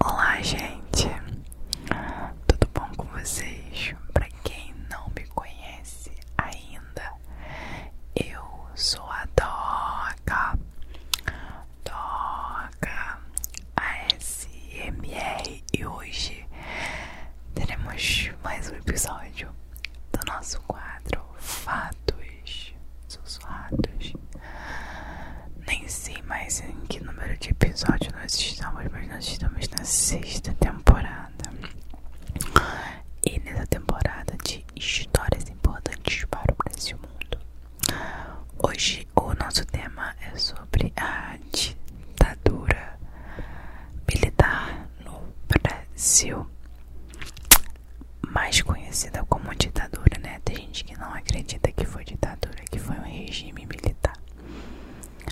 Olá, gente, tudo bom com vocês? Para quem não me conhece ainda, eu sou a Doca, toca ASMR e hoje teremos mais um episódio do nosso quadro Fatos Sussurrados. Nem sei mais em que número de episódio nós estamos, mas nós estamos na sexta temporada. E nessa temporada de histórias importantes para o Brasil e o mundo, Hoje o nosso tema é sobre a ditadura militar no Brasil, mais conhecida como ditadura, né? Tem gente que não acredita que foi ditadura, que foi um regime militar,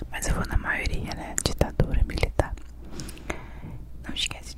mas eu vou na maioria, né? Ditadura militar. Não esquece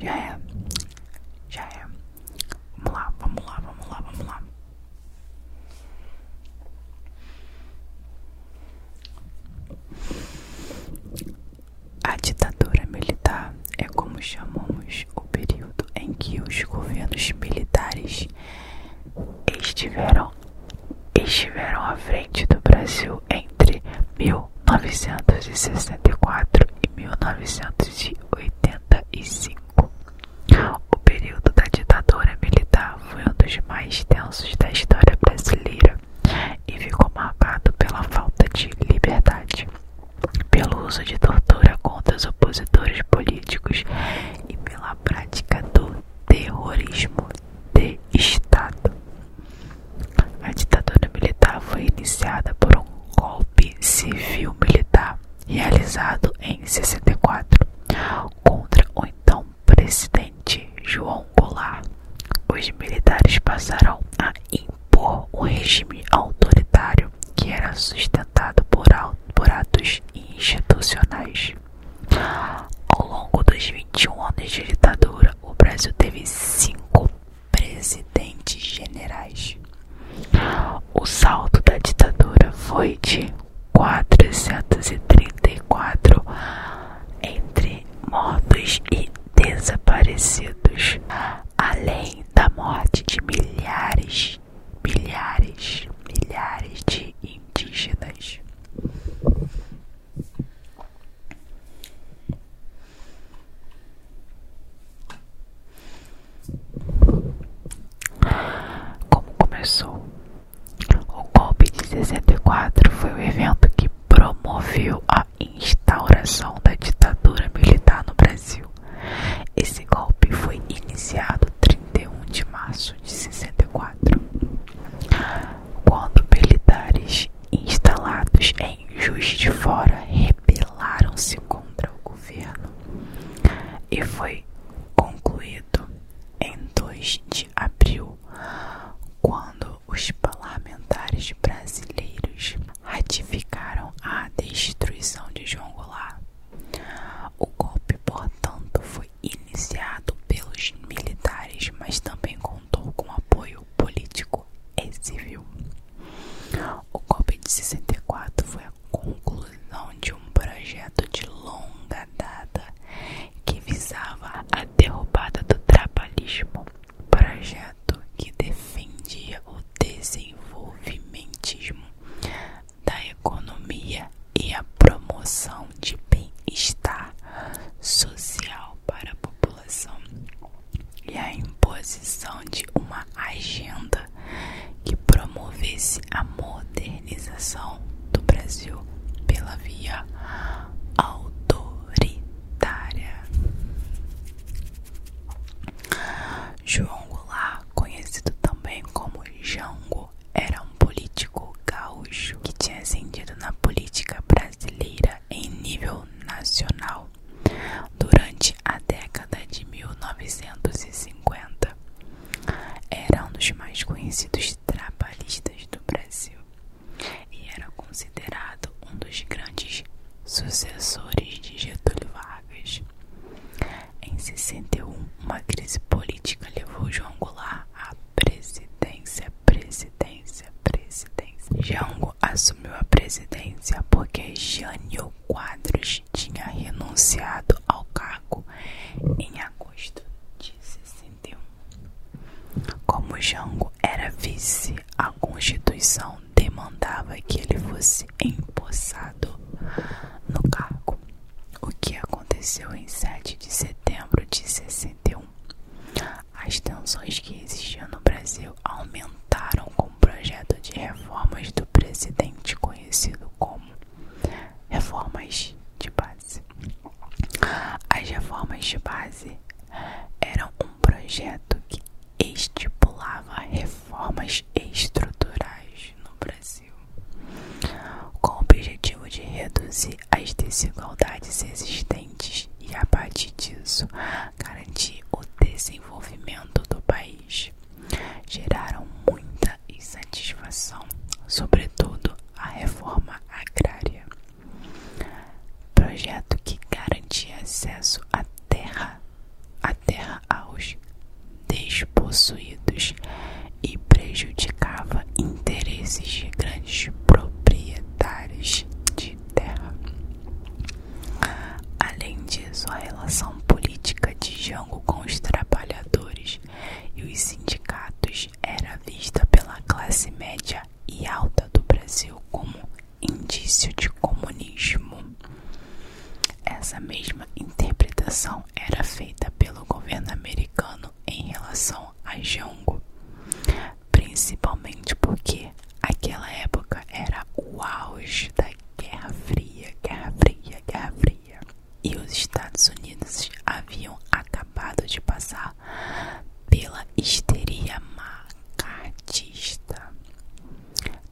já é, já é. Vamos lá, vamos lá, vamos lá, vamos lá. A ditadura militar é como chamamos o período em que os governos militares estiveram estiveram à frente do Brasil entre 1964 e 1985. O período da ditadura militar foi um dos mais tensos da história brasileira e ficou marcado pela falta de liberdade, pelo uso de tortura contra os opositores políticos e pela prática do terrorismo de Estado. A ditadura militar foi iniciada por um golpe civil-militar realizado em 64 contra o então presidente João Goulart. Os militares passaram a impor um regime autoritário que era sustentado por atos institucionais. Ao longo dos 21 anos de ditadura, o Brasil teve cinco presidentes generais. O saldo da ditadura foi de 434 entre mortos e desaparecidos, além da morte de milhares, milhares, milhares de indígenas. Como começou? O golpe de 64 foi o evento que promoveu a instauração da ditadura militar no Brasil. Esse golpe foi iniciado 31 de março de 64. Quando militares instalados em Juiz de Fora rebelaram-se contra o governo e foi concluído em 2 de abril, quando os parlamentares brasileiros ratificaram a destruição de João Goulart. O golpe, portanto, foi iniciado pelos militares, mas também contou com apoio político e civil. O golpe de 64 foi a conclusão de um projeto de longa data que visava a derrubada do trabalhismo, projeto que defendia o desenvolvimentismo da economia e a promoção de bem-estar social para a população e a imposição de uma agenda que promovesse a modernização do Brasil pela via autoritária. João Goulart, conhecido também como Jango era um político gaúcho que tinha ascendido na política brasileira em nível nacional durante a década de 1950. Era um dos mais conhecidos trabalhistas do Brasil e era considerado um dos grandes sucessores de Getúlio Vargas. Em 61, uma crise política levou João Goulart a presidência, presidência, presidência. Jango assumiu a presidência porque Jânio Quadros tinha renunciado ao cargo em agosto de 61. Como Jango era vice, a Constituição demandava que ele fosse empossado no cargo o que aconteceu em 7 de setembro de 61. As tensões que existiam no Brasil aumentaram com o projeto de reformas do presidente conhecido como reformas de base. As reformas de base eram um projeto que estipulava reformas estruturais no Brasil com o objetivo de reduzir as desigualdades existentes e, a partir disso, garantir o desenvolvimento do país. Geraram muita insatisfação, sobretudo a reforma agrária, projeto que garantia acesso à terra, à terra aos despossuídos e prejudicava interesses de grandes proprietários de terra. Além disso, a relação política de Jango com os trabalhadores e os sindicatos era vista pela classe média e alta do Brasil como indício de comunismo. Essa mesma interpretação era feita pelo governo americano em relação a Django, principalmente porque aquela época era o auge da Guerra Fria, Guerra Fria, Guerra Fria, e os Estados Unidos haviam acabado de passar pela histeria macartista.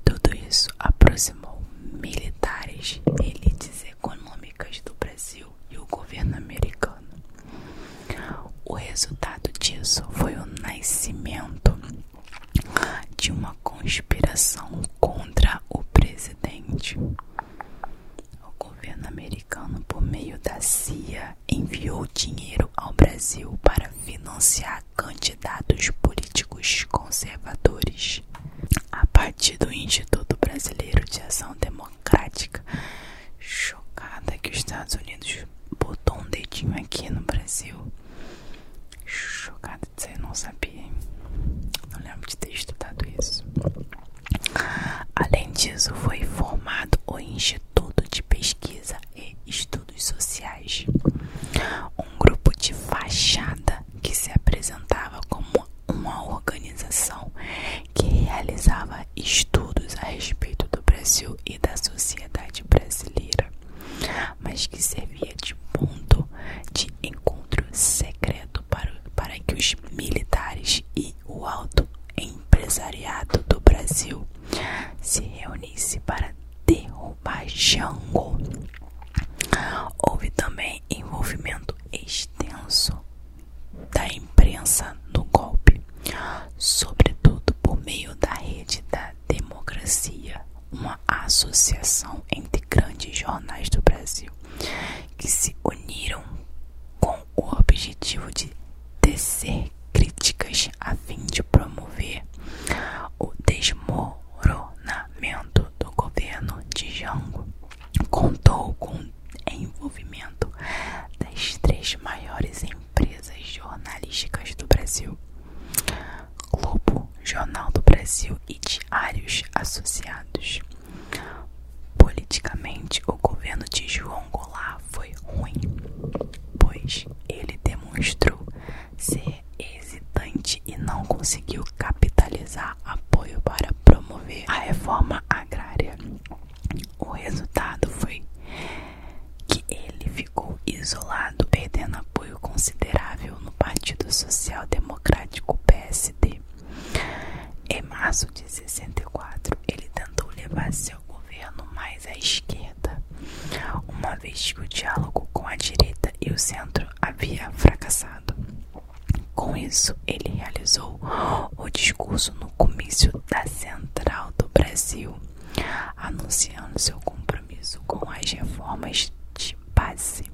Tudo isso aproximou militares, e elites econômicas do Brasil e o governo americano. O resultado disso foi o nascimento de uma conspiração contra o presidente. O governo americano, por meio da CIA, enviou dinheiro ao Brasil para financiar candidatos políticos conservadores a partir do Instituto Brasileiro de Ação Democrática, chocada que os Estados Unidos botou um dedinho aqui no Brasil. Chocada de ser, não sabia. Não lembro de ter estudado isso. Além disso, foi formado o Instituto de Pesquisa e Estudos Sociais, um grupo de fachada que se apresentava como uma organização que realizava estudos a respeito do Brasil e da sociedade brasileira, mas que servia de ponto de encontro secreto para, para que os militares e o alto empresariado do Brasil se reunissem para derrubar Jango. Houve também é envolvimento extenso da imprensa no golpe, sobretudo por meio da rede da democracia, uma associação entre grandes jornais do Brasil que se uniram com o objetivo de tecer críticas a fim de promover o desmoronamento do governo de Jango contou com envolvimento das três maiores empresas jornalísticas do Brasil: Globo, Jornal do Brasil e Diários Associados. Politicamente, o governo de João Goulart foi ruim, pois ele demonstrou ser hesitante e não conseguiu capitalizar apoio para promover a reforma agrária. O resultado foi que ele ficou isolado, perdendo apoio considerável no Partido Social Democrático PSD. Em março de 64, ele tentou levar seu governo mais à esquerda, uma vez que o diálogo com a direita e o centro havia fracassado. Com isso, ele realizou o discurso no comício da Central do Brasil, anunciando seu compromisso com as reformas de base.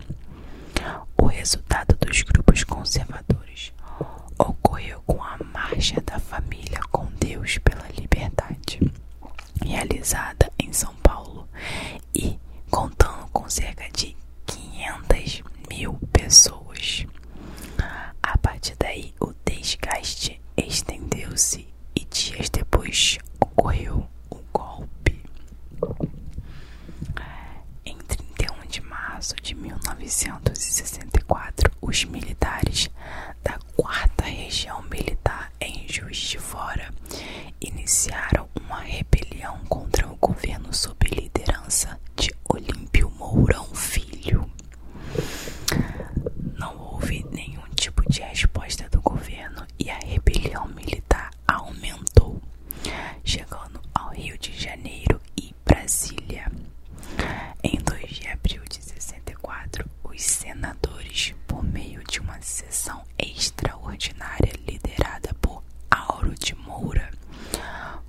O resultado dos grupos conservadores ocorreu com a Marcha da Família com Deus pela Liberdade, realizada em São Paulo e contando com cerca de 500 mil pessoas. A partir daí, o desgaste estendeu-se e dias depois ocorreu o golpe. Em 31 de março de 1964, os militares da 4 Região Militar em Juiz de Fora iniciaram uma rebelião contra o governo sob liderança de Olímpio Mourão Filho. Não houve nenhum tipo de resposta do governo e a rebelião militar aumentou, chegando ao Rio de Janeiro e Brasília. Em 2 de abril de 64, os senadores, por meio de uma sessão extraordinária liderada por Auro de Moura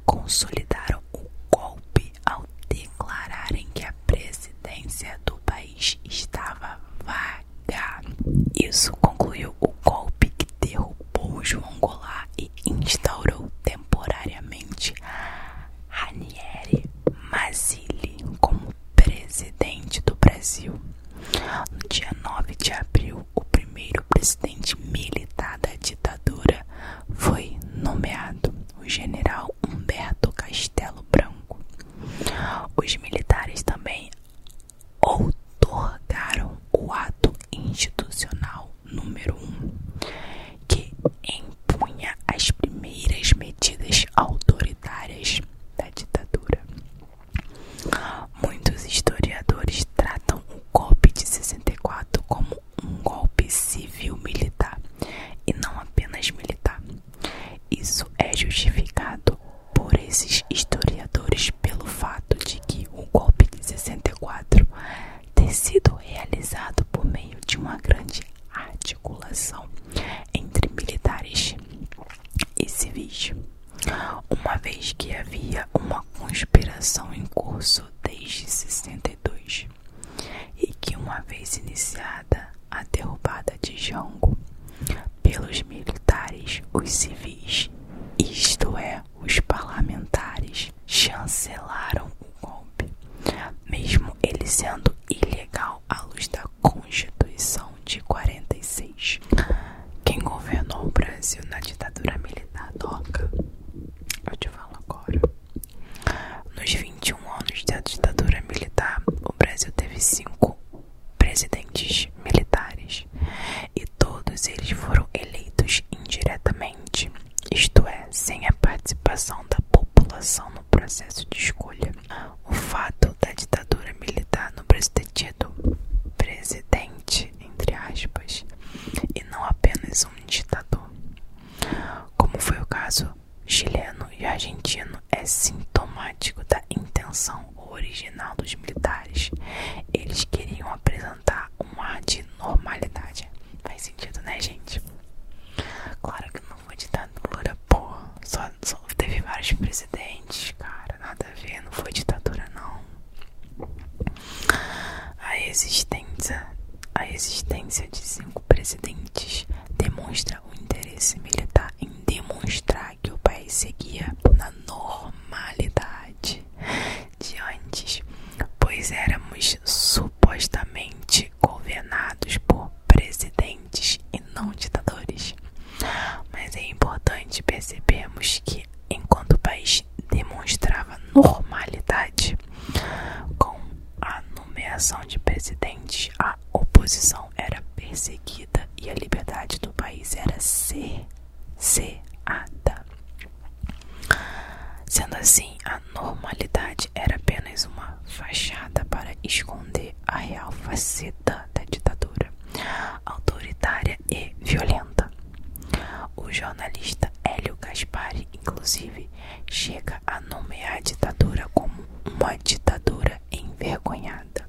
consolidaram o golpe ao declararem que a presidência do país estava vaga. Isso concluiu o golpe que derrubou João Goulart e instaurou temporariamente Ranieri Mazzilli como presidente do Brasil. No dia 9 de abril o primeiro presidente militar da ditadura foi nomeado o general Humberto Castelo Branco. Os militares também outorgaram o ato institucional número um, que empunha as primeiras medidas autoritárias da ditadura. Muitos historiadores tratam o golpe de 64 como um golpe civil-militar e não apenas militar. Isso é justificado por esses historiadores pelo fato de que o golpe de 64 ter sido realizado por meio de uma grande articulação entre militares e civis uma vez que havia uma conspiração em curso desde 62 e que, uma vez iniciada a derrubada de Jango pelos militares, os civis, isto é, os parlamentares, chancelaram o golpe, mesmo ele sendo ilegal à luz da Constituição de 46. Quem governou o Brasil na ditadura militar toca? Eu te falo agora. Nos 21 anos da ditadura militar, o Brasil teve cinco presidentes militares e todos eles foram eleitos indiretamente, isto é, sem a participação da população no processo de escolha. O fato da ditadura militar no Brasil ter tido presidente entre aspas, e não apenas um ditador. Como foi o caso chileno e argentino, é sintomático da intenção original dos militares. Eles queriam apresentar uma ar de normalidade. Faz sentido, né, gente? Claro que não foi ditar Lula, porra. Só, só teve vários presidentes cara, nada a ver, não foi ditadura não. A existência a resistência de cinco presidentes demonstra o interesse militar em demonstrar que o país seguia na normalidade de antes, pois éramos supostamente governados por presidentes e não ditadores. Mas é importante percebermos que enquanto o país demonstrava normalidade com a nomeação de presidentes, a oposição era perseguida e a liberdade do país era cerceada. Sendo assim, a normalidade era apenas uma fachada para esconder a real faceta da ditadura autoritária e violenta. O jornalista Hélio Gaspari, inclusive, chega a nomear a ditadura como uma ditadura envergonhada,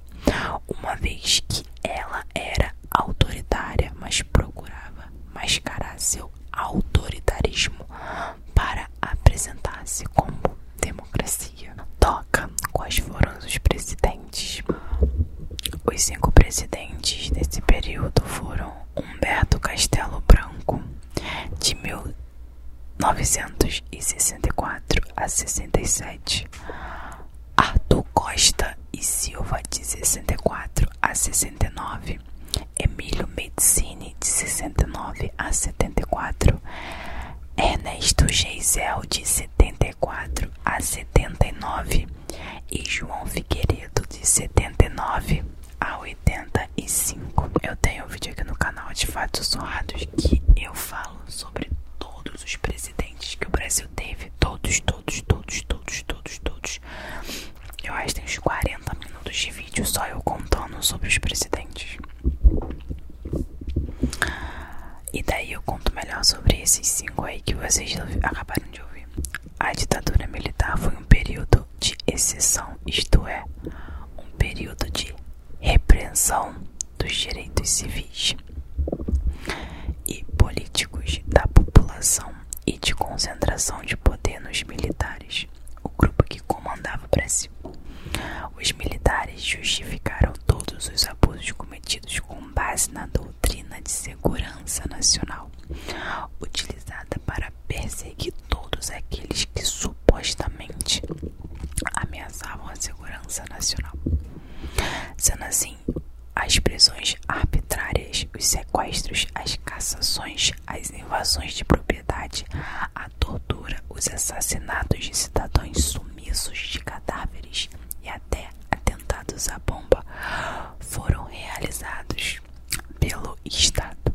uma vez que ela era autoritária, mas procurava mascarar seu autoritarismo para apresentar-se como democracia. Toca quais foram os presidentes os cinco presidentes desse período foram Humberto Castelo Branco, de 1964 a 67, Arthur Costa e Silva, de 64 a 69, Emílio Medicini, de 69 a 74, Ernesto Geisel, de 74 74 a 79 e João Figueiredo de 79 a 85. Eu tenho um vídeo aqui no canal de fatos honrados que eu falo sobre todos os presidentes que o Brasil teve, todos, todos, todos, todos, todos, todos. Eu acho que tem uns 40 minutos de vídeo só eu contando sobre os presidentes. E daí eu conto melhor sobre esses cinco aí que vocês acabaram de ouvir. A ditadura militar foi um período de exceção, isto é, um período de repressão dos direitos civis e políticos da população e de concentração de poder nos militares, o grupo que comandava o Brasil. Os militares justificaram todos os abusos cometidos com com base na doutrina de segurança nacional, utilizada para perseguir todos aqueles que supostamente ameaçavam a segurança nacional. Sendo assim, as prisões arbitrárias, os sequestros, as cassações, as invasões de propriedade, a tortura, os assassinatos de cidadãos sumidos sumiços de cadáveres e até atentados à bomba foram realizados pelo Estado,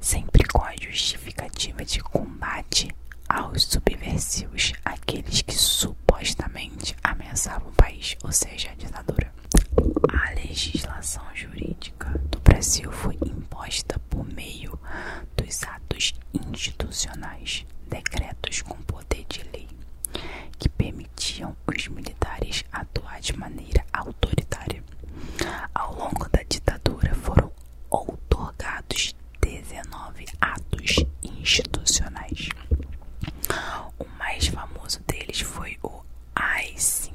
sempre com a justificativa de combate aos subversivos, aqueles que supostamente ameaçavam o país, ou seja, a ditadura. A legislação jurídica do Brasil foi imposta por meio dos atos institucionais, decretos compostos de lei, que permitiam os militares atuar de maneira autoritária. Ao longo da ditadura foram outorgados 19 atos institucionais. O mais famoso deles foi o AI-5,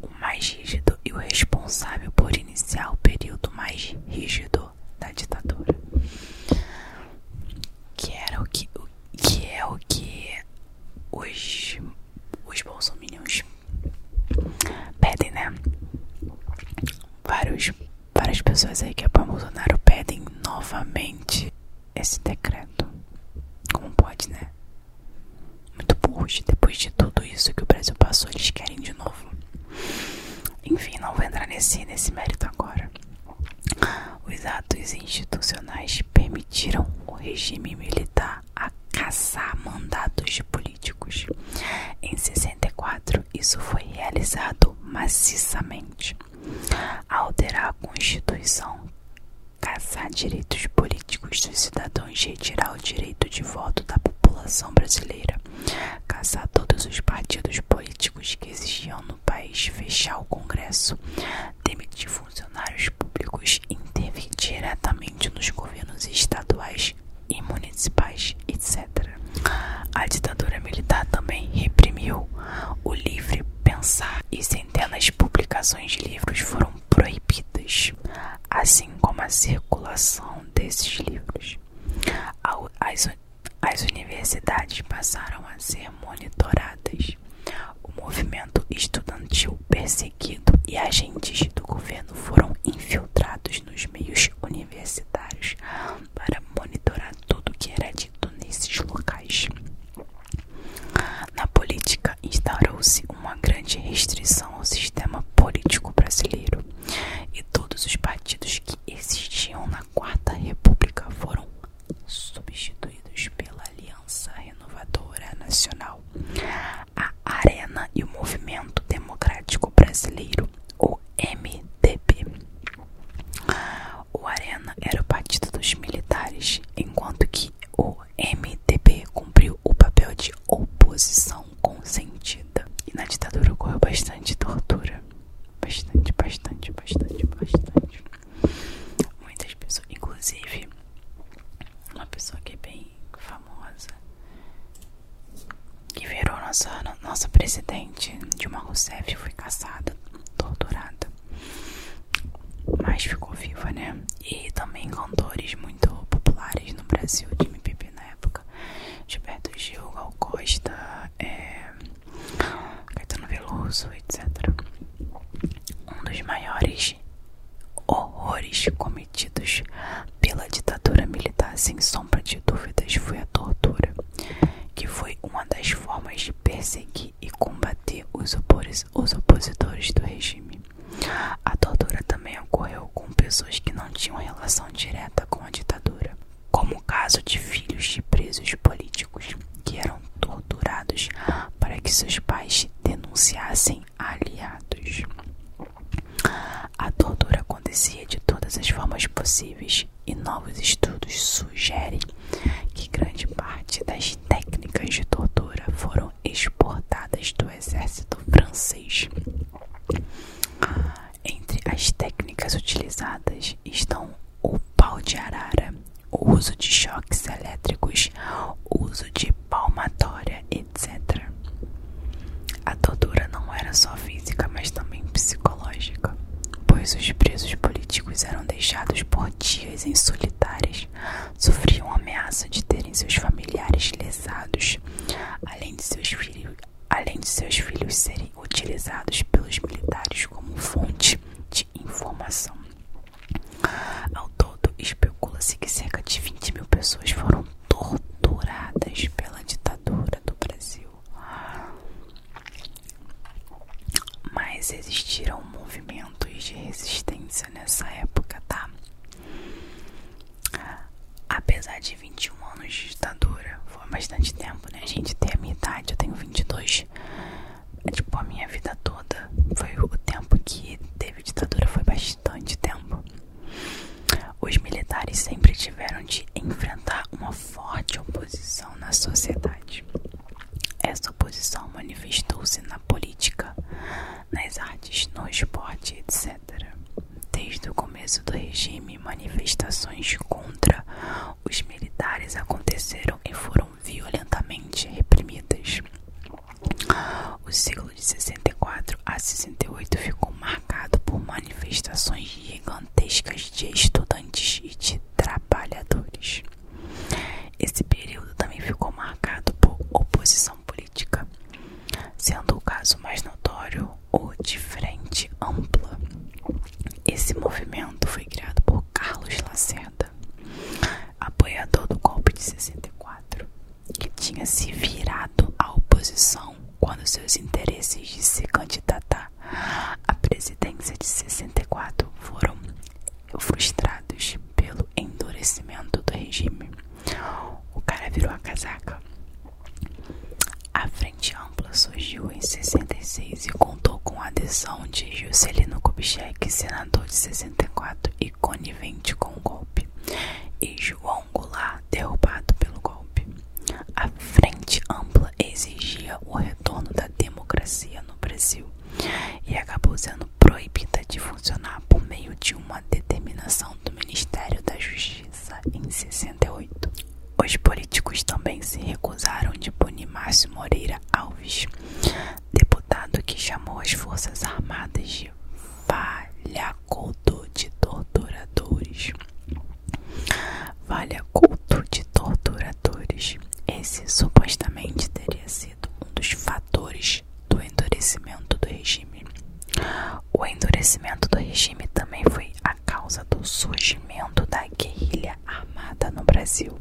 o mais rígido e o responsável por iniciar o período mais rígido da ditadura que era o que o, que é o que os os bolsominions pedem né vários várias pessoas aí que é apoiam Bolsonaro pedem novamente esse decreto como pode né muito burro depois de tudo isso que o Brasil passou eles querem de novo enfim, não vou entrar nesse, nesse mérito agora. Os atos institucionais permitiram o regime militar a caçar mandatos de políticos. Em 64, isso foi realizado maciçamente. Alterar a Constituição, caçar direitos políticos dos cidadãos e retirar o direito de voto da população brasileira caçar todos os partidos políticos que existiam no país, fechar o Congresso, demitir funcionários públicos, intervir diretamente nos governos estaduais e municipais, etc. A ditadura militar também reprimiu o livre pensar e centenas de publicações de livros foram proibidas, assim como a circulação desses livros. As as universidades passaram a ser monitoradas. O movimento estudantil perseguido e agentes do governo foram infiltrados nos meios universitários para monitorar tudo que era dito nesses locais. Na política, instaurou-se uma grande restrição ao sistema político brasileiro e todos os partidos que existiam na Quarta República foram substituídos pela Aliança Renovadora Nacional, a Arena e o Movimento Democrático Brasileiro, o MDB. O Arena era o partido dos militares, enquanto que o MDB cumpriu o papel de oposição consentida. E na ditadura ocorreu bastante tortura. Bastante, bastante, bastante, bastante. Muitas pessoas, inclusive, uma pessoa que é bem famosa, que virou nossa, nossa presidente, Dilma Rousseff, foi caçada, torturada. Mas ficou viva, né? E também cantores muito populares no Brasil, Jimmy na época, Gilberto Gil, Gal Costa, é, Caetano Veloso, etc. Um dos maiores horrores cometidos pela ditadura militar, sem sombra de dúvidas, foi a tortura, que foi uma das formas de perseguir e combater os opositores do regime. A tortura também ocorreu com pessoas que não tinham relação direta com a ditadura como o caso de filhos de presos políticos que eram torturados para que seus pais denunciassem aliados. A tortura acontecia de todas as formas possíveis e novos estudos sugerem que grande parte das técnicas de tortura foram exportadas do exército francês. Entre as técnicas utilizadas estão o pau de arara, o uso de choques elétricos, o uso de palmatória, etc. A tortura não era só física, mas também psicológica, pois os presos políticos eram deixados por dias em solitárias, sofriam ameaça de terem seus familiares lesados, além de seus filhos, além de seus filhos serem utilizados pelos militares como fonte de informação. Ao todo, especula-se que cerca de 20 mil pessoas foram torturadas pela ditadura do Brasil. Mas existiram movimentos de resistência nessa época, tá? Apesar de 21 anos de ditadura, foi bastante tempo, né? A gente tem a minha idade, eu tenho 22. É, tipo, a minha vida toda foi o tempo que teve ditadura, foi bastante tempo. Os militares sempre tiveram de enfrentar uma forte oposição na sociedade. Essa oposição manifestou-se na política, nas artes, no esporte, etc. Desde o começo do regime, manifestações contra os militares aconteceram e foram violentamente reprimidas. O século de 64 a 68 ficou marcado por manifestações gigantescas de estudantes e de trabalhadores. Esse período também ficou marcado por oposição política, sendo o caso mais notório o de frente ampla. Esse movimento foi criado por Carlos Lacerda, apoiador do golpe de 64, que tinha se virado à oposição quando seus interesses de se candidatar à presidência de 64 foram frustrados pelo endurecimento do regime. O cara virou a casaca a Frente Ampla surgiu em 66 e contou com a adesão de Juscelino Kubitschek, senador de 64 e conivente com o golpe, e João Goulart, derrubado pelo golpe. A Frente Ampla exigia o retorno da democracia no Brasil e acabou sendo proibida de funcionar por meio de uma determinação do Ministério da Justiça. Suíça em 68. Os políticos também se recusaram de punir Márcio Moreira Alves, deputado que chamou as Forças Armadas de valha-culto de torturadores. Valha-culto de torturadores. Esse supostamente teria sido um dos fatores do endurecimento do regime. O endurecimento do regime também foi a causa do surgimento da guerrilha armada no Brasil.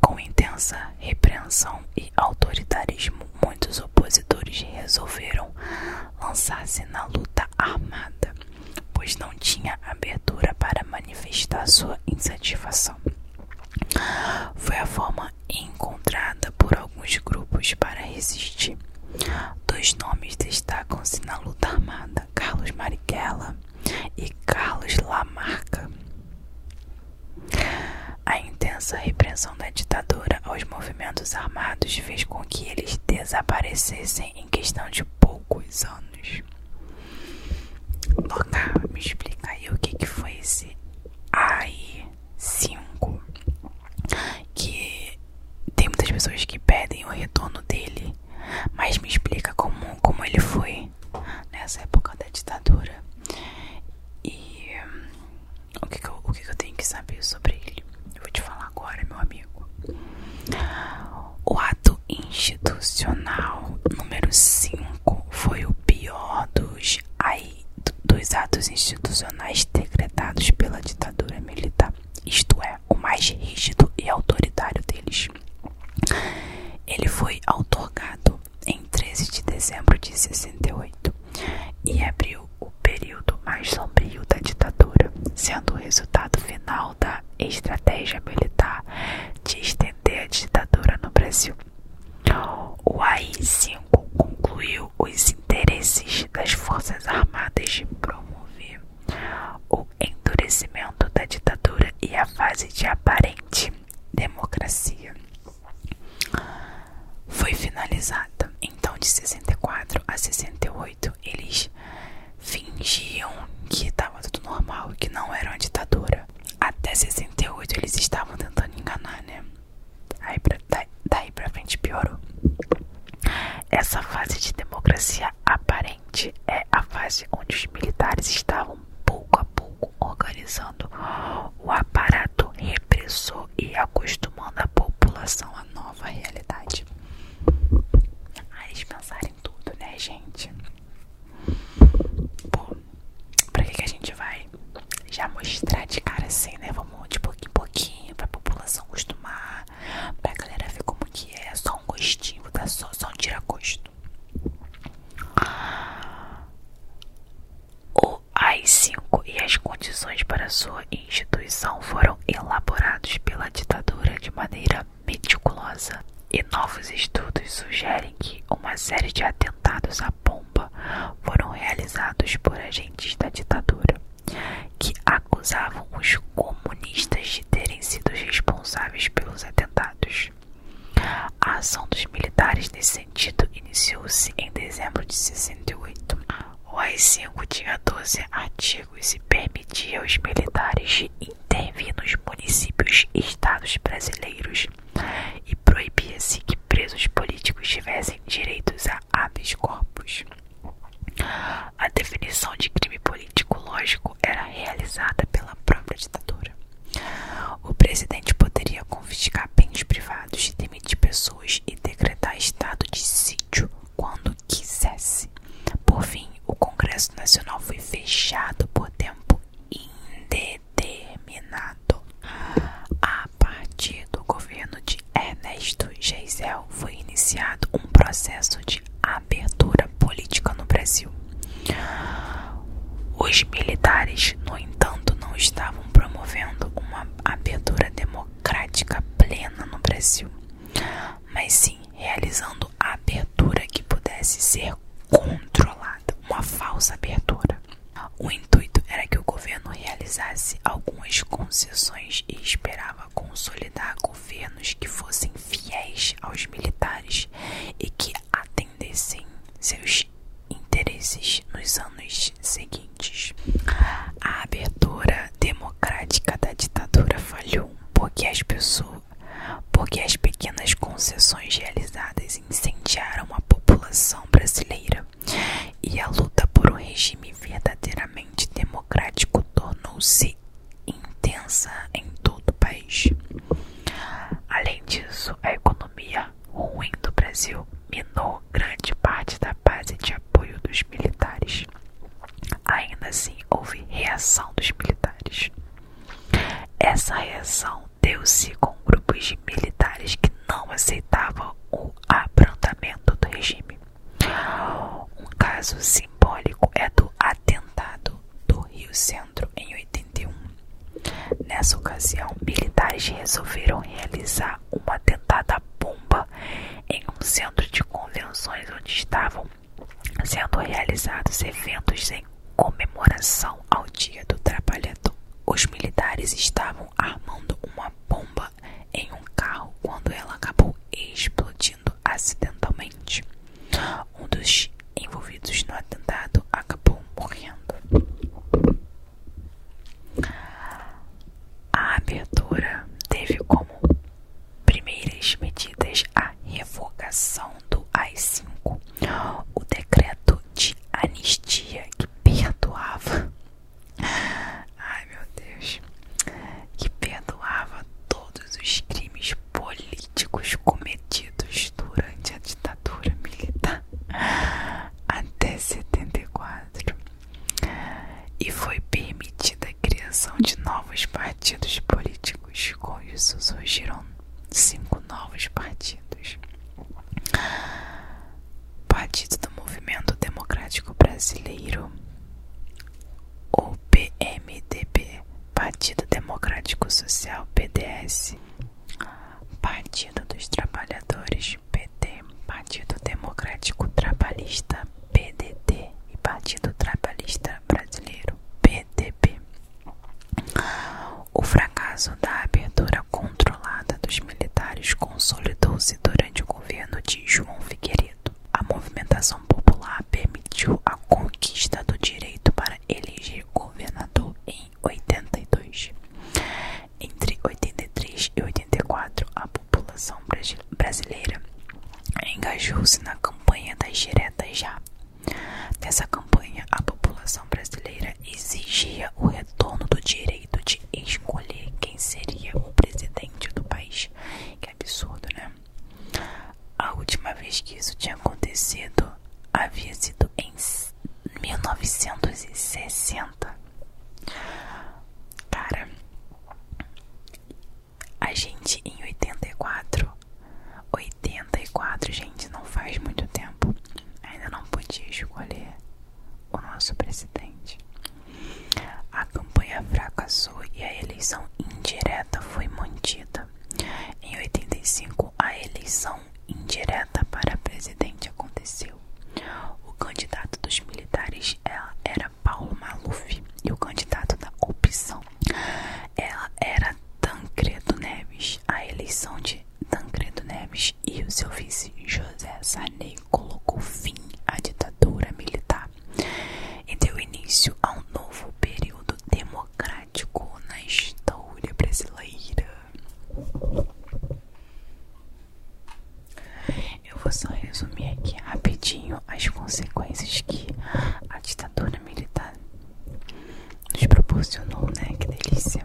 Com intensa repreensão e autoritarismo, muitos opositores resolveram lançar-se na luta armada, pois não tinha abertura para manifestar sua insatisfação. Foi a forma encontrada por alguns grupos para resistir dois nomes destacam-se na luta armada Carlos Marighella e Carlos Lamarca. A intensa repressão da ditadura aos movimentos armados fez com que eles desaparecessem em questão de poucos anos. Loca, me explicar aí o que, que foi esse AI-5 que tem muitas pessoas que pedem o retorno dele, mas me explica como, como ele foi nessa época da ditadura e hum, o, que, que, eu, o que, que eu tenho que saber sobre ele. Eu vou te falar agora, meu amigo. O ato institucional número 5 foi o pior dos, dos atos institucionais decretados pela ditadura ditadura militar, isto é, o mais rígido e autoritário deles. Ele foi outorgado em 13 de dezembro de 68 e abriu o período mais sombrio da ditadura, sendo o resultado final da estratégia militar de estender a ditadura no Brasil. O AI-5 concluiu os interesses das Forças Armadas de promover o endurecimento da ditadura e a fase de aparente democracia foi finalizada. Então, de 64 a 68, eles fingiam que estava tudo normal, que não era uma ditadura. Até 68 eles estavam tentando enganar, né? Aí pra, daí, daí pra frente piorou. Essa fase de democracia aparente é a fase onde os militares estavam pouco a pouco organizando o aparato repressor e acostumando a população à nova realidade. Aí eles pensaram em tudo, né, gente? Pô, pra que, que a gente vai já mostrar de cara assim, né? Vamos de pouquinho em pouquinho pra população acostumar, pra galera ver como que é, só um gostinho, tá? Só, só um tiracosto O AI-5 e as condições para sua instituição foram elaborados pela ditadura de maneira meticulosa e novos estudos sugerem que uma série de atentados à bomba foram realizados por agentes da ditadura que acusavam os comunistas de terem sido responsáveis pelos atentados. A ação dos militares nesse sentido iniciou-se em dezembro de 68. O AI-5 tinha 12 artigos e permitia aos militares de intervir nos municípios e estados brasileiros e proibia-se que presos políticos tivessem direitos a habeas corpus. A definição de crime político lógico era realizada pela própria ditadura. O presidente poderia confiscar bens privados, demitir pessoas e decretar estado de sítio quando quisesse. Por fim, o Congresso Nacional foi fechado por tempo indeterminado. A partir do governo de de Ernesto Geisel foi iniciado um processo de abertura política no Brasil. Os militares, no entanto, não estavam promovendo uma abertura democrática plena no Brasil, mas sim realizando a abertura que pudesse ser controlada, uma falsa abertura. O intuito era que o governo realizasse algumas concessões e esperava consolidar governos que fossem fiéis aos militares e que atendessem seus interesses nos anos seguintes. A abertura democrática da ditadura falhou porque as pequenas concessões realizadas incendiaram a população brasileira e a luta por um regime verdadeiramente democrático tornou-se intensa em todo o país. Além disso, a economia ruim do Brasil minou grande parte da base de apoio dos militares. Ainda assim, houve reação dos militares. Essa reação deu-se com grupos de militares que não aceitavam o o do regime. Um caso simbólico é do atentado do Rio Centro em 81. Nessa ocasião, militares resolveram realizar um atentado à bomba em um centro de convenções onde estavam sendo realizados eventos em comemoração ao Dia do Trabalhador. Os militares estavam armando uma bomba em um carro quando ela acabou explodindo acidentalmente. Um dos envolvidos no atentado acabou morrendo. A abertura teve como primeiras medidas a revogação do a 5 o decreto de anistia que perdoava Ai meu Deus, que perdoava todos os crimes políticos cometidos durante a ditadura militar até 74 e foi permitida a criação de novos partidos políticos. Com isso surgiram cinco novos partidos. Partido do Movimento Democrático Brasileiro, ou PMDB, Partido Democrático Social PDS, Partido dos Trabalhadores PT, Partido Democrático Trabalhista PDT e Partido Trabalhista Brasileiro PTB. O fracasso da abertura controlada dos militares consolidou se durante o governo de João Figueiredo. A movimentação popular permitiu a conquista do direito para eleger governador em 82. Entre 83 e 84, a população brasileira engajou-se na campanha das diretas já. Nessa campanha, a população brasileira exigia o retorno do direito de escolher quem seria o presidente do país. Que absurdo, né? A última vez que isso tinha acontecido havia sido em 1960. Cara, a gente em 84, 84, gente, não faz muito tempo, ainda não podia escolher o nosso presidente. A campanha fracassou e a eleição indireta foi mantida. Em 85, a eleição indireta para presidente aconteceu. O candidato dos militares é, era Paulo Maluf e o candidato da opção era Tancredo Neves. A eleição de Tancredo Neves e o seu vice José Sarney colocou fim à ditadura militar e deu início a um novo período democrático na história brasileira. Eu vou só resumir aqui rapidinho as consequências que a ditadura militar nos proporcionou, né? Que delícia!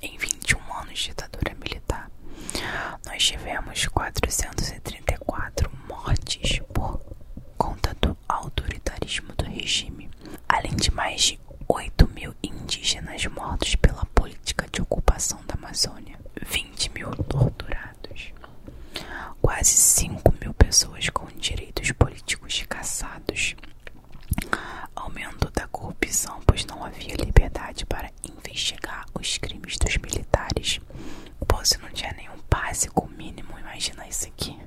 Em 21 anos de ditadura militar, nós tivemos 434 mortes por conta do autoritarismo do regime, além de mais de 8 mil indígenas mortos pela política de ocupação da Amazônia, 20 mil torturados, quase 5 mil pessoas com direitos políticos caçados, Aumento da corrupção, pois não havia liberdade para investigar os crimes dos militares. Pô, se não tinha nenhum básico mínimo, imagina isso aqui.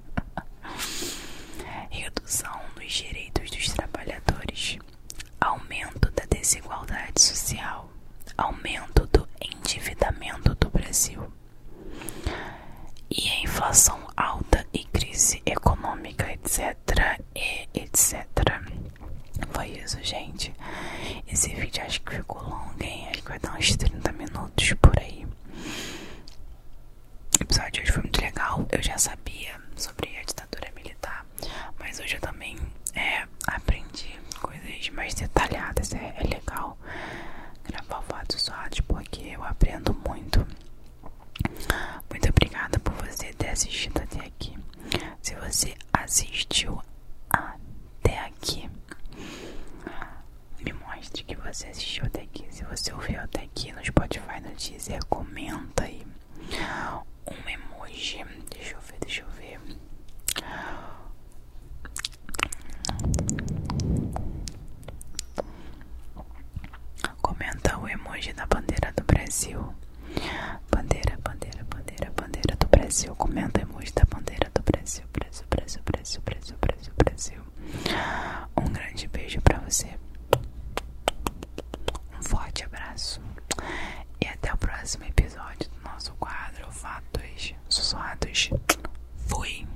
Redução nos direitos dos trabalhadores. Aumento da desigualdade social. Aumento do endividamento do Brasil. E a inflação alta e crise econômica, etc. E etc. Foi isso, gente. Esse vídeo acho que ficou longo, hein? Acho que vai dar uns 30 minutos por aí. O episódio de hoje foi muito legal. Eu já sabia sobre a ditadura militar, mas hoje eu também é, aprendi coisas mais detalhadas. É, é legal gravar fatos usados porque eu aprendo muito muito obrigada por você ter assistido até aqui. Se você assistiu até aqui, me mostre que você assistiu até aqui. Se você ouviu até aqui no Spotify, no Deezer, comenta aí um emoji. Deixa eu ver, deixa eu ver. Comenta o emoji da bandeira do Brasil. Bandeira, bandeira, bandeira, bandeira do Brasil. Comenta o emoji da bandeira do Brasil. Brasil, Brasil, Brasil, Brasil, Brasil, Brasil. Um grande beijo pra você. Um forte abraço. E até o próximo episódio do nosso quadro Fatos Sussurrados. Fui!